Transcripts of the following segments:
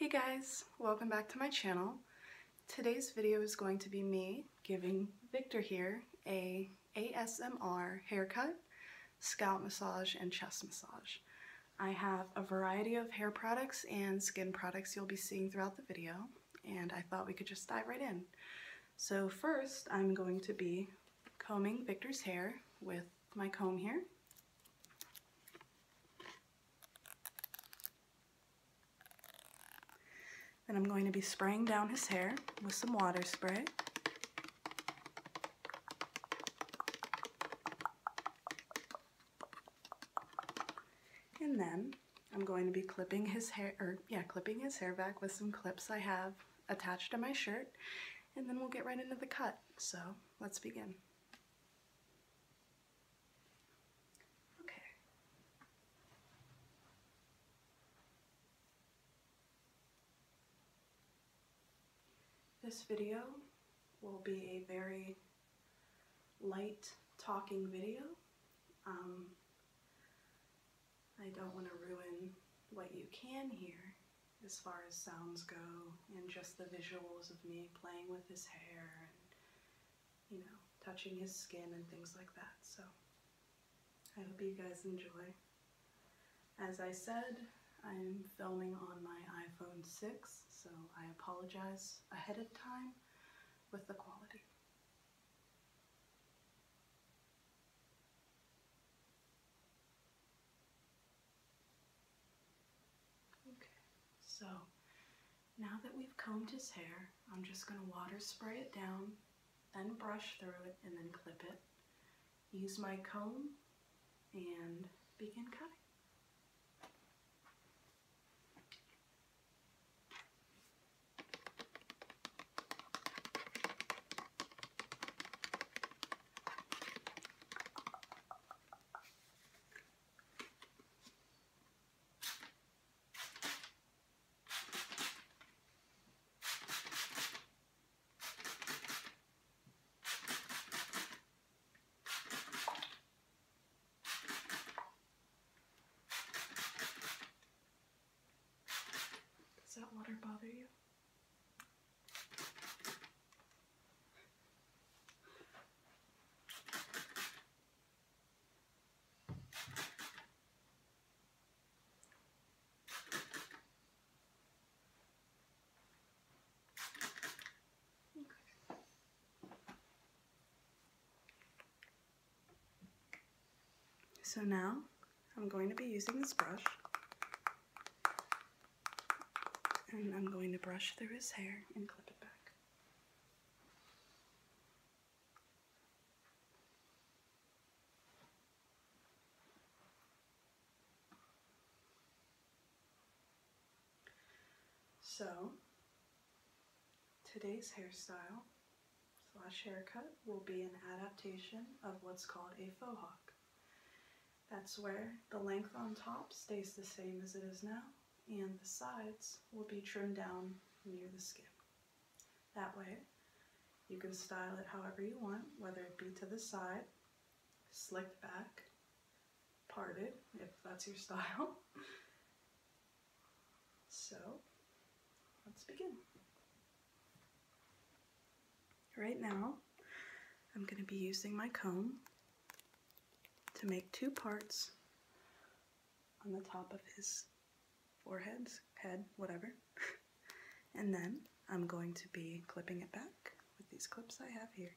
Hey guys, welcome back to my channel. Today's video is going to be me giving Victor here a ASMR haircut, scalp massage, and chest massage. I have a variety of hair products and skin products you'll be seeing throughout the video, and I thought we could just dive right in. So first, I'm going to be combing Victor's hair with my comb here. And I'm going to be spraying down his hair with some water spray. And then I'm going to be clipping his hair, or yeah, clipping his hair back with some clips I have attached to my shirt. And then we'll get right into the cut. So let's begin. Okay. This video will be a very light talking video. Um, I don't want to ruin what you can hear as far as sounds go, and just the visuals of me playing with his hair and, you know, touching his skin and things like that. So I hope you guys enjoy. As I said, I'm filming on my iPhone 6, so I apologize ahead of time with the quality. Okay, so now that we've combed his hair, I'm just going to water spray it down, then brush through it, and then clip it. Use my comb and begin cutting. Does that water bother you? So now I'm going to be using this brush and I'm going to brush through his hair and clip it back. So, today's hairstyle slash haircut will be an adaptation of what's called a faux hawk. That's where the length on top stays the same as it is now, and the sides will be trimmed down near the skin. That way, you can style it however you want, whether it be to the side, slicked back, parted, if that's your style. so, let's begin right now I'm going to be using my comb to make two parts on the top of his forehead, head, whatever. and then I'm going to be clipping it back with these clips I have here.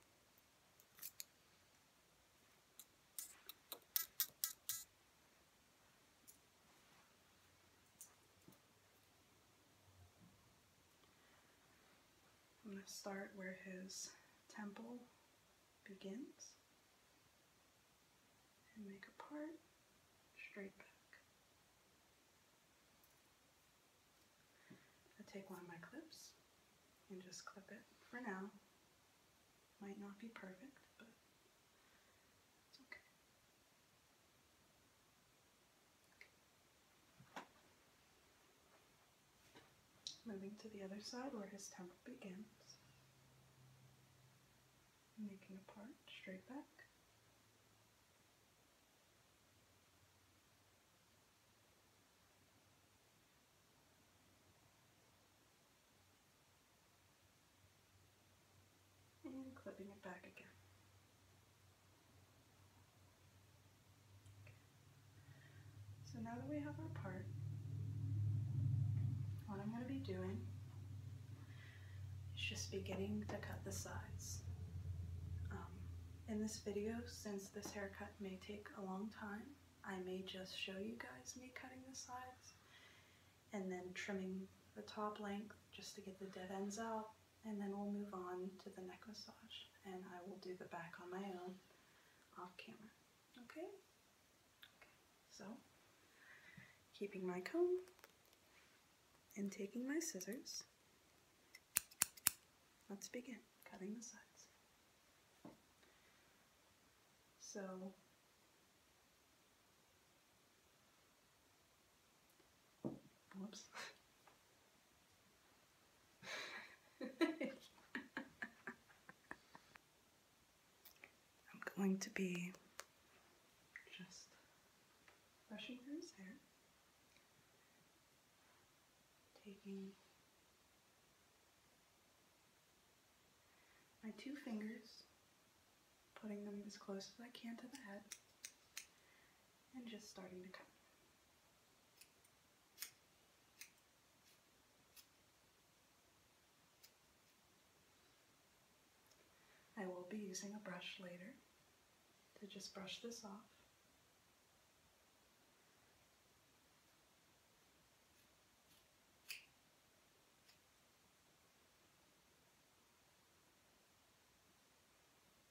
I'm going to start where his temple begins and make a part straight back. I take one of my clips and just clip it for now. Might not be perfect, but it's Moving to the other side where his temple begins. Making a part straight back. And clipping it back again. So now that we have our part, what I'm going to be doing is just beginning to cut the sides. Um, in this video, since this haircut may take a long time, I may just show you guys me cutting the sides and then trimming the top length just to get the dead ends out and then we'll move on to the neck massage and I will do the back on my own off camera. Okay? Okay. So, keeping my comb and taking my scissors, let's begin cutting the sides. So, I'm going to be just brushing through his hair, taking my two fingers, putting them as close as I can to the head, and just starting to cut. I will be using a brush later to just brush this off.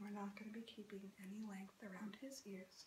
We're not going to be keeping any length around his ears.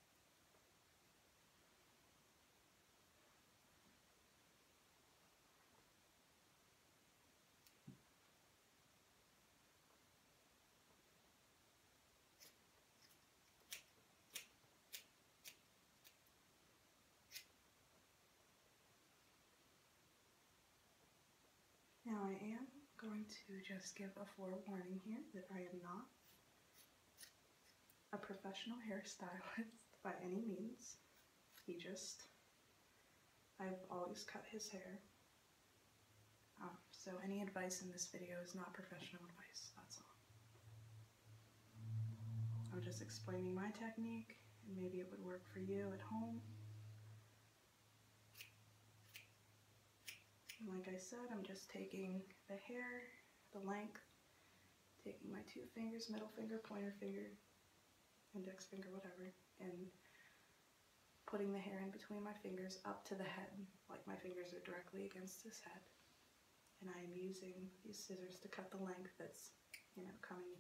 Now I am going to just give a forewarning here that I am not a professional hairstylist by any means. He just, I've always cut his hair. Um, so any advice in this video is not professional advice, that's all. I'm just explaining my technique and maybe it would work for you at home. like I said, I'm just taking the hair the length, taking my two fingers, middle finger, pointer finger, index finger, whatever, and putting the hair in between my fingers up to the head, like my fingers are directly against his head. And I am using these scissors to cut the length that's, you know, coming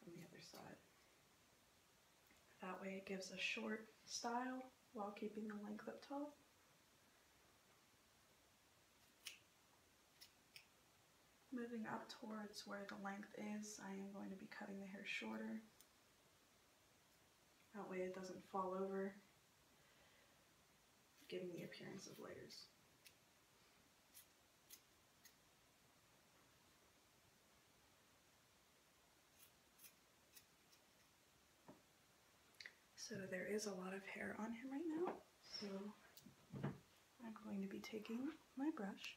from the other side. That way it gives a short style while keeping the length up top. Moving up towards where the length is, I am going to be cutting the hair shorter. That way it doesn't fall over, giving the appearance of layers. So there is a lot of hair on him right now. So I'm going to be taking my brush.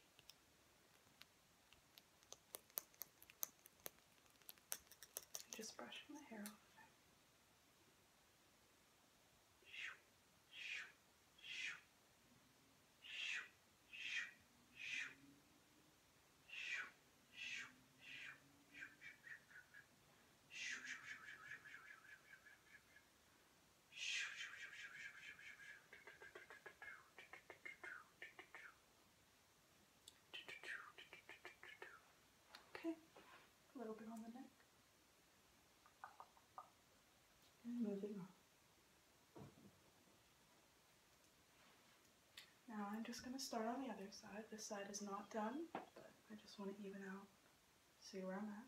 Just brushing the hair off. Okay, a little bit on the neck. And moving on. Now I'm just going to start on the other side. This side is not done, but I just want to even out, see where I'm at.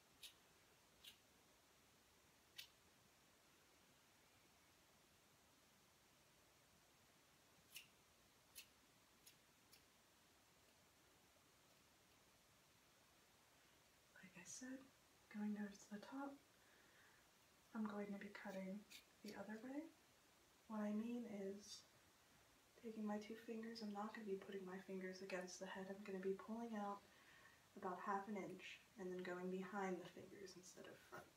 Like I said, going down to the top, I'm going to be cutting the other way. What I mean is taking my two fingers, I'm not going to be putting my fingers against the head, I'm going to be pulling out about half an inch and then going behind the fingers instead of front.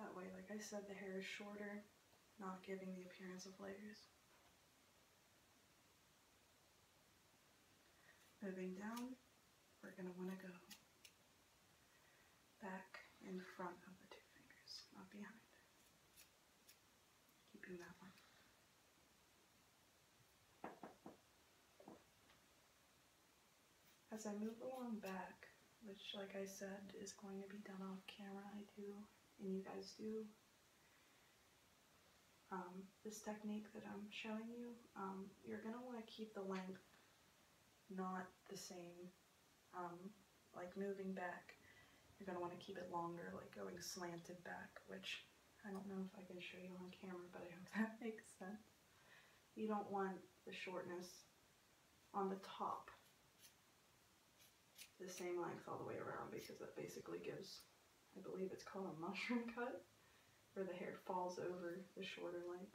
That way, like I said, the hair is shorter, not giving the appearance of layers. Moving down, we're going to want to go back in front of the two fingers, not behind. As I move along back, which like I said is going to be done off camera, I do, and you guys do. Um, this technique that I'm showing you, um, you're going to want to keep the length not the same, um, like moving back you're going to want to keep it longer, like going slanted back, which I don't know if I can show you on camera, but I hope that makes sense. You don't want the shortness on the top the same length all the way around because that basically gives, I believe it's called a mushroom cut, where the hair falls over the shorter length.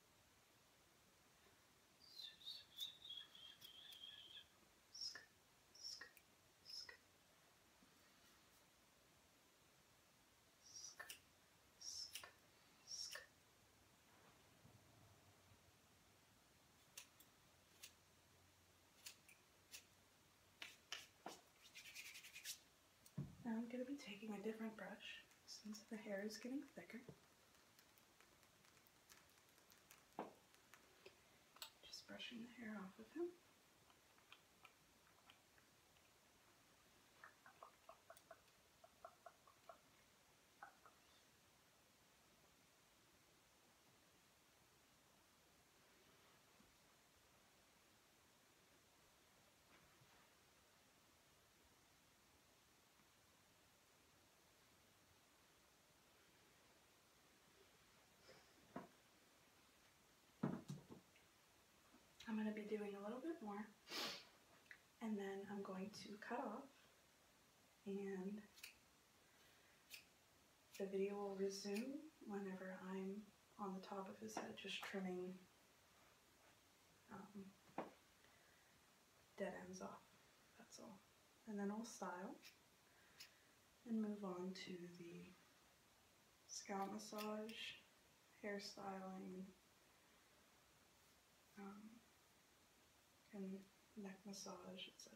Now I'm going to be taking a different brush since the hair is getting thicker. Just brushing the hair off of him. I'm going to be doing a little bit more and then I'm going to cut off and the video will resume whenever I'm on the top of his head just trimming um, dead ends off, that's all. And then I'll style and move on to the scalp massage, hairstyling, um, and neck massage, etc.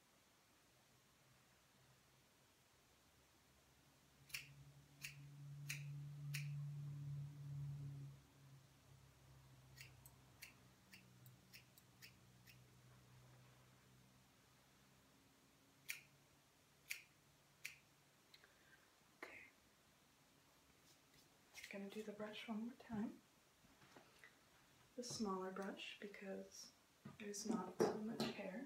Okay. I'm going to do the brush one more time the smaller brush because there's not so much hair.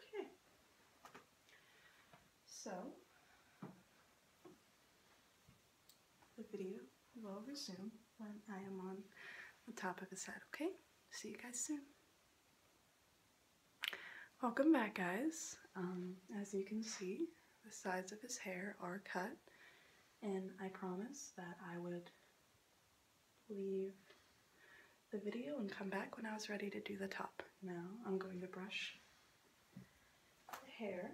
Okay. So, the video will resume when I am on the top of his head, okay? See you guys soon. Welcome back, guys. Um, as you can see, the sides of his hair are cut, and I promised that I would leave the video and come back when I was ready to do the top. Now I'm going to brush the hair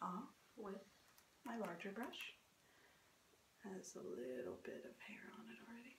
off with my larger brush. Has a little bit of hair on it already.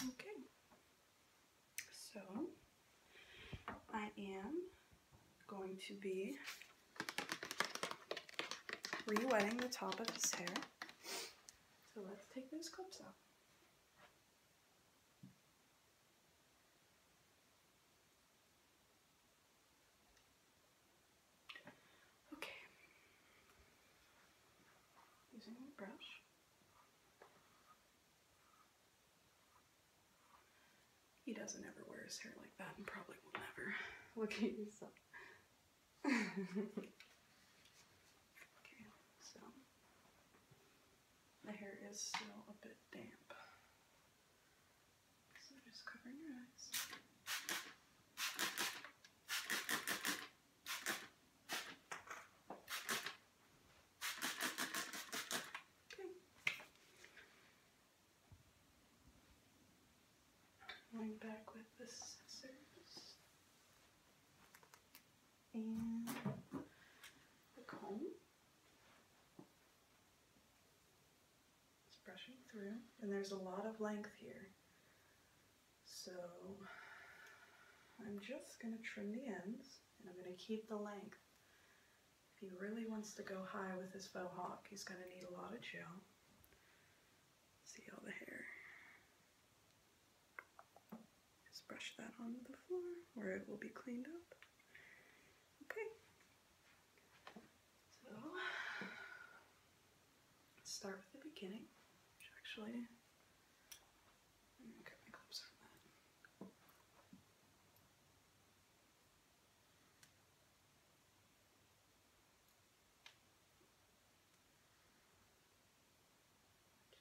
Okay, so I am going to be re-wetting the top of his hair. So let's take those clips off. Okay. Using brush. He doesn't ever wear his hair like that and probably will never. Look at yourself. okay, so the hair is still a bit damp. So just covering your eyes. Going back with the scissors and the comb. It's brushing through, and there's a lot of length here. So I'm just going to trim the ends and I'm going to keep the length. If he really wants to go high with his faux hawk, he's going to need a lot of gel. See all the hair. Just brush that onto the floor where it will be cleaned up. Okay. So start with the beginning, actually,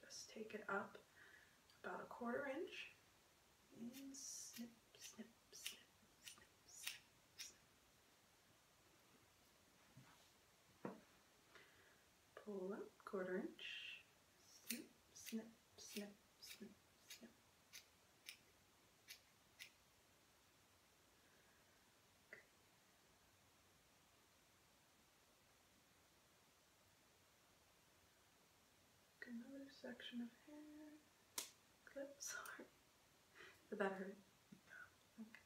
Just take it up about a quarter inch and snip, snip, snip. Pull up, quarter inch, snip, snip, snip, snip, snip. Another section of hair. Clip, sorry. The better. Okay.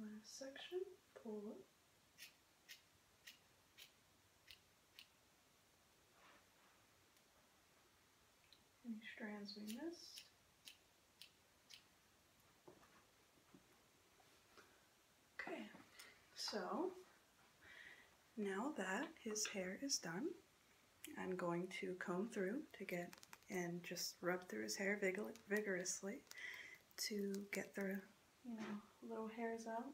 Last section, pull Any strands we missed. Okay, so now that his hair is done, I'm going to comb through to get and just rub through his hair vigorously to get the you know little hairs out.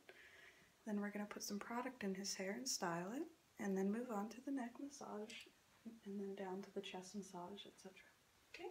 Then we're going to put some product in his hair and style it, and then move on to the neck massage, and then down to the chest massage, etc. Okay.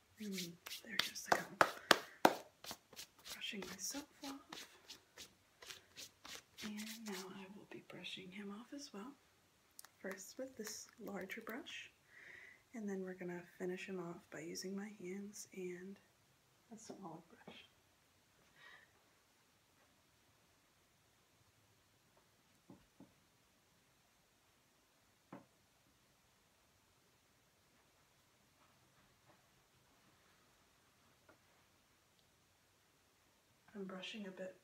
Mm, there goes the Brushing myself off. And now I will be brushing him off as well. First with this larger brush. And then we're going to finish him off by using my hands and a smaller brush. I'm brushing a bit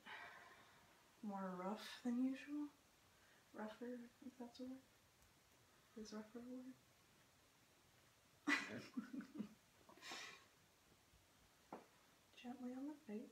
more rough than usual. Rougher, if that's a word. Is rougher a word? Gently on the face.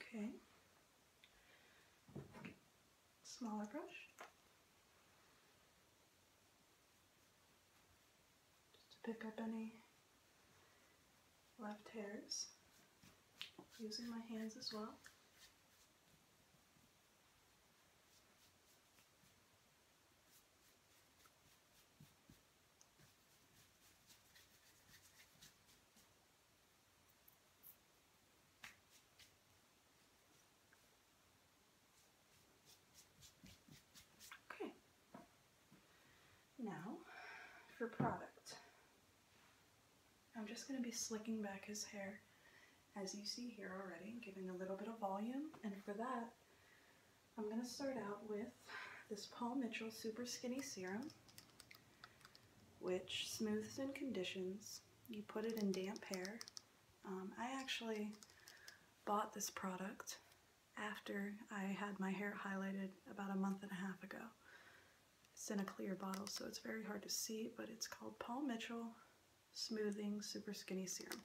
Okay. Smaller brush. Just to pick up any left hairs. Using my hands as well. Okay. Now, for product. I'm just going to be slicking back his hair as you see here already, giving a little bit of volume. And for that, I'm going to start out with this Paul Mitchell Super Skinny Serum, which smooths and conditions. You put it in damp hair. Um, I actually bought this product after I had my hair highlighted about a month and a half ago. It's in a clear bottle, so it's very hard to see, but it's called Paul Mitchell Smoothing Super Skinny Serum.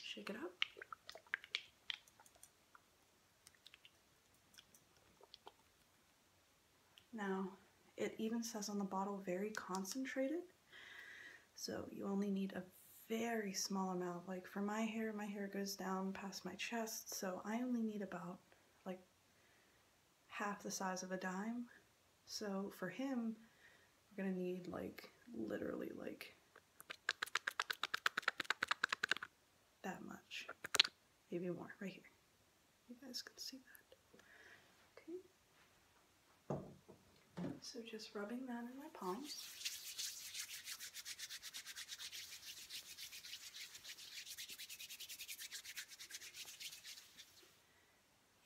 Shake it up. Now, it even says on the bottle, very concentrated. So you only need a very small amount. Like for my hair, my hair goes down past my chest, so I only need about like half the size of a dime. So for him, we're gonna need like literally like that much. Maybe more, right here. You guys can see that. Okay. So just rubbing that in my palms,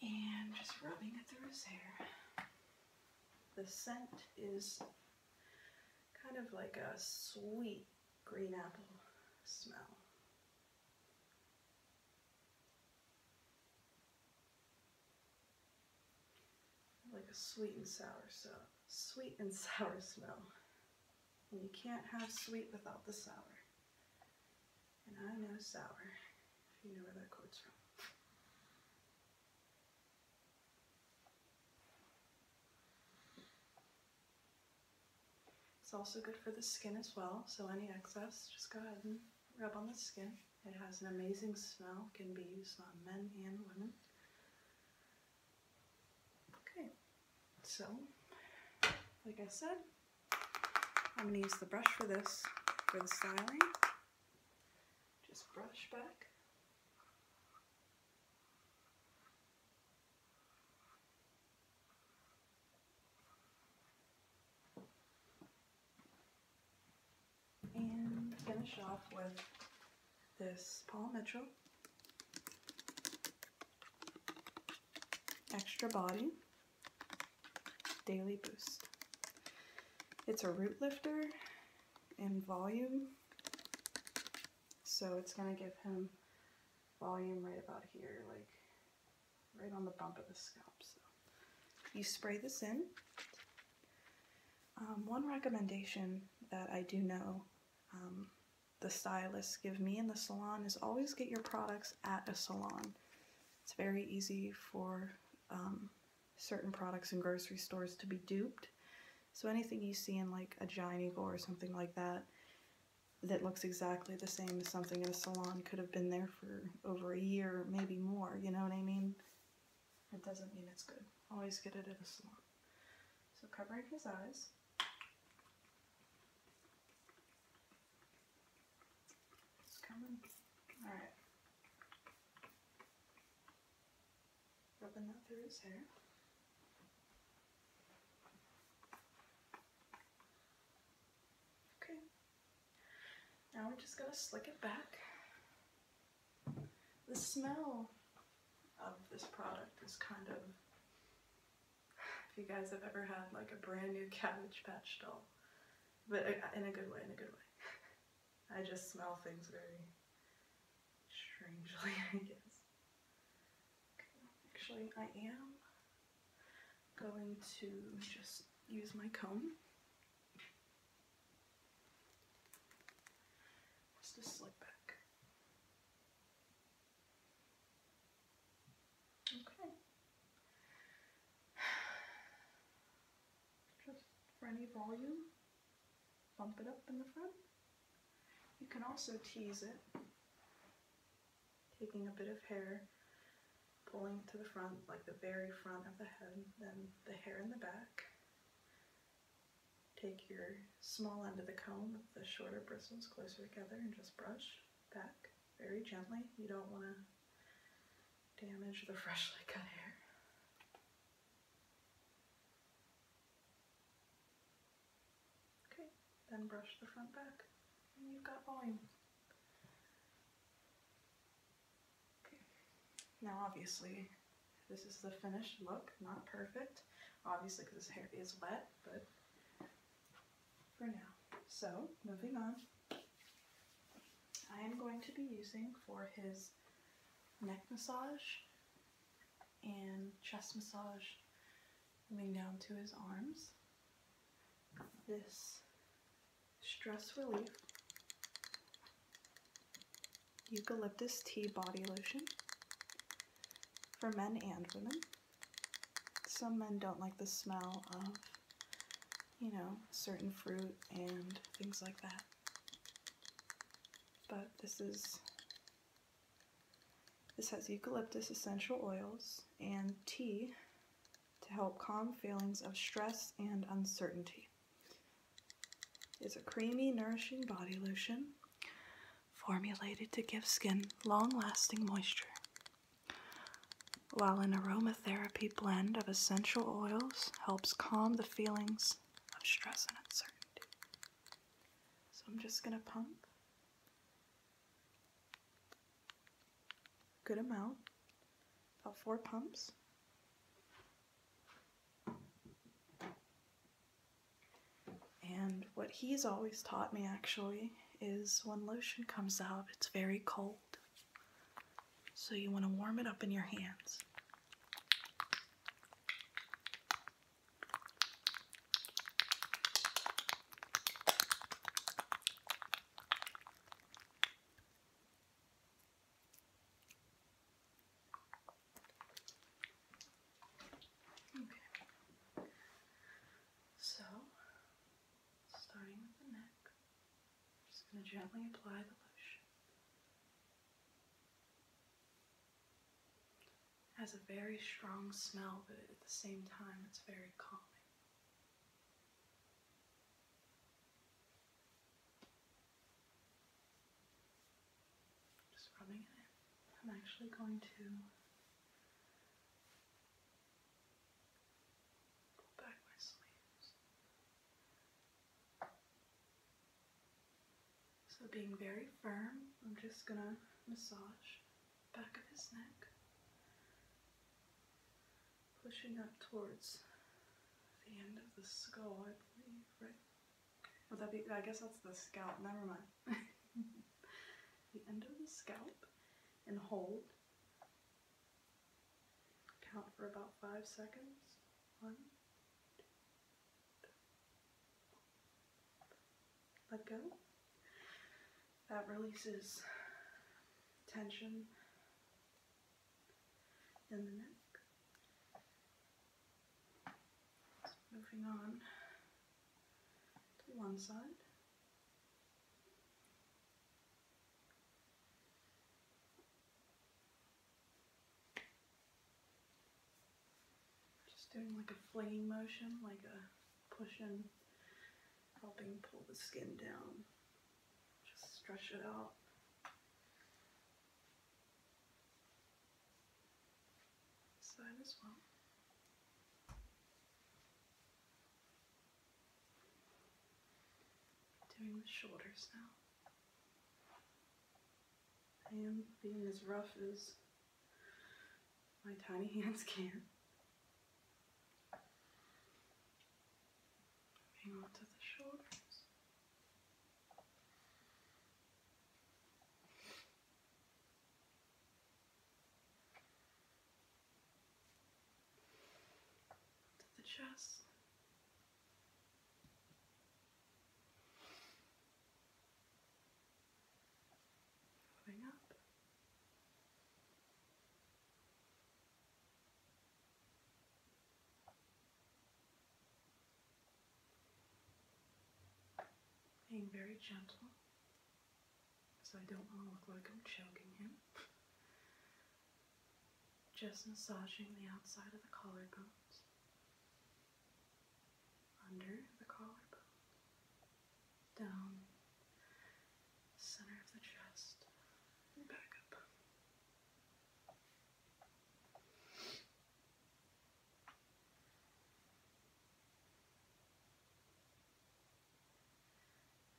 And just rubbing it through his hair. The scent is kind of like a sweet green apple smell. Like a sweet and sour, so sweet and sour smell. And you can't have sweet without the sour. And I know sour, if you know where that quote's from. It's also good for the skin as well, so any excess, just go ahead and rub on the skin. It has an amazing smell, can be used on men and women. Okay, so like I said, I'm going to use the brush for this, for the styling. Just brush back and finish off with this Paul Mitchell Extra Body Daily Boost. It's a root lifter in volume. So it's going to give him volume right about here, like right on the bump of the scalp. So you spray this in. Um, one recommendation that I do know um, the stylists give me in the salon is always get your products at a salon. It's very easy for um, certain products in grocery stores to be duped so anything you see in like a giant eagle or something like that that looks exactly the same as something in a salon could have been there for over a year, maybe more, you know what I mean? It doesn't mean it's good. Always get it at a salon. So covering his eyes. It's coming. Alright rubbing that through his hair. Okay, now we're just gonna slick it back. The smell of this product is kind of, if you guys have ever had like a brand new Cabbage Patch doll, but uh, in a good way, in a good way. I just smell things very strangely, I guess. Actually, I am going to just use my comb. Just slick back. Okay. Just for any volume bump it up in the front. You can also tease it, taking a bit of hair, pulling to the front, like the very front of the head, then the hair in the back. Take your small end of the comb the shorter bristles closer together and just brush back very gently. You don't want to damage the freshly cut hair. Okay, then brush the front back and you've got volume. Okay. Now obviously this is the finished look, not perfect, obviously because this hair is wet, but for now. So, moving on. I am going to be using for his neck massage and chest massage coming down to his arms. This stress relief eucalyptus tea body lotion for men and women. Some men don't like the smell of, you know, certain fruit and things like that but this is this has eucalyptus essential oils and tea to help calm feelings of stress and uncertainty. It's a creamy, nourishing body lotion formulated to give skin long-lasting moisture. While an aromatherapy blend of essential oils helps calm the feelings of stress and uncertainty. So I'm just going to pump good amount, about four pumps. And what he's always taught me actually is when lotion comes out, it's very cold. So you want to warm it up in your hands. So, starting with the neck, I'm just going to gently apply the lotion it has a very strong smell, but at the same time, it's very calming. Just rubbing it I'm actually going to pull back my sleeves so being very firm, I'm just gonna massage back of his neck, pushing up towards the end of the skull, I believe, right? Would that be, I guess that's the scalp, never mind. the end of the scalp and hold. Count for about five seconds. One, let go. That releases tension in the neck. moving on to one side. Just doing like a flinging motion, like a pushing, helping pull the skin down. Just stretch it out. Side as well. Doing the shoulders now. I am being as rough as my tiny hands can. Moving on the shoulders. To the chest up. Being very gentle, so I don't want to look like I'm choking him. just massaging the outside of the collarbones, under the collarbone, down, center of the chest, and back up.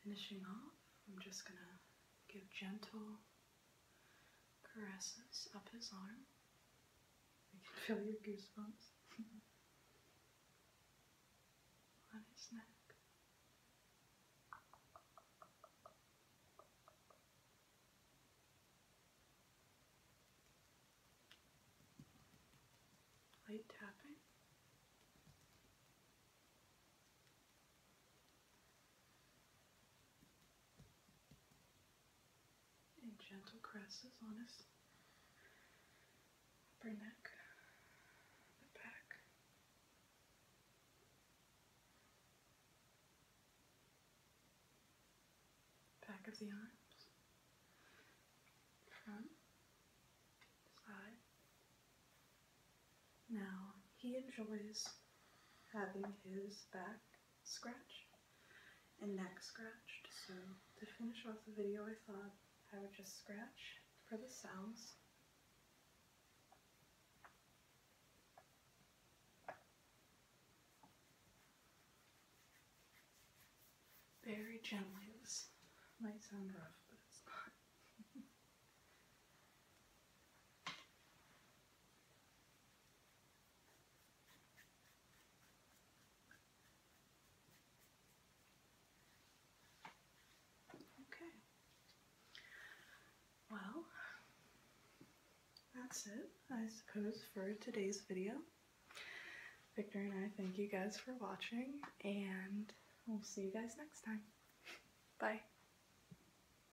Finishing off, I'm just going to give gentle caresses up his arm. You can feel your goosebumps on his neck. Light tapping and gentle caresses on his upper neck, the back. Back of the arms, front, side. Now he enjoys having his back scratched and neck scratched. So to finish off the video, I thought I would just scratch for the sounds. Very gently. This might sound rough, but it's not. Okay. Well, that's it, I suppose, for today's video. Victor and I thank you guys for watching, and we'll see you guys next time. Bye.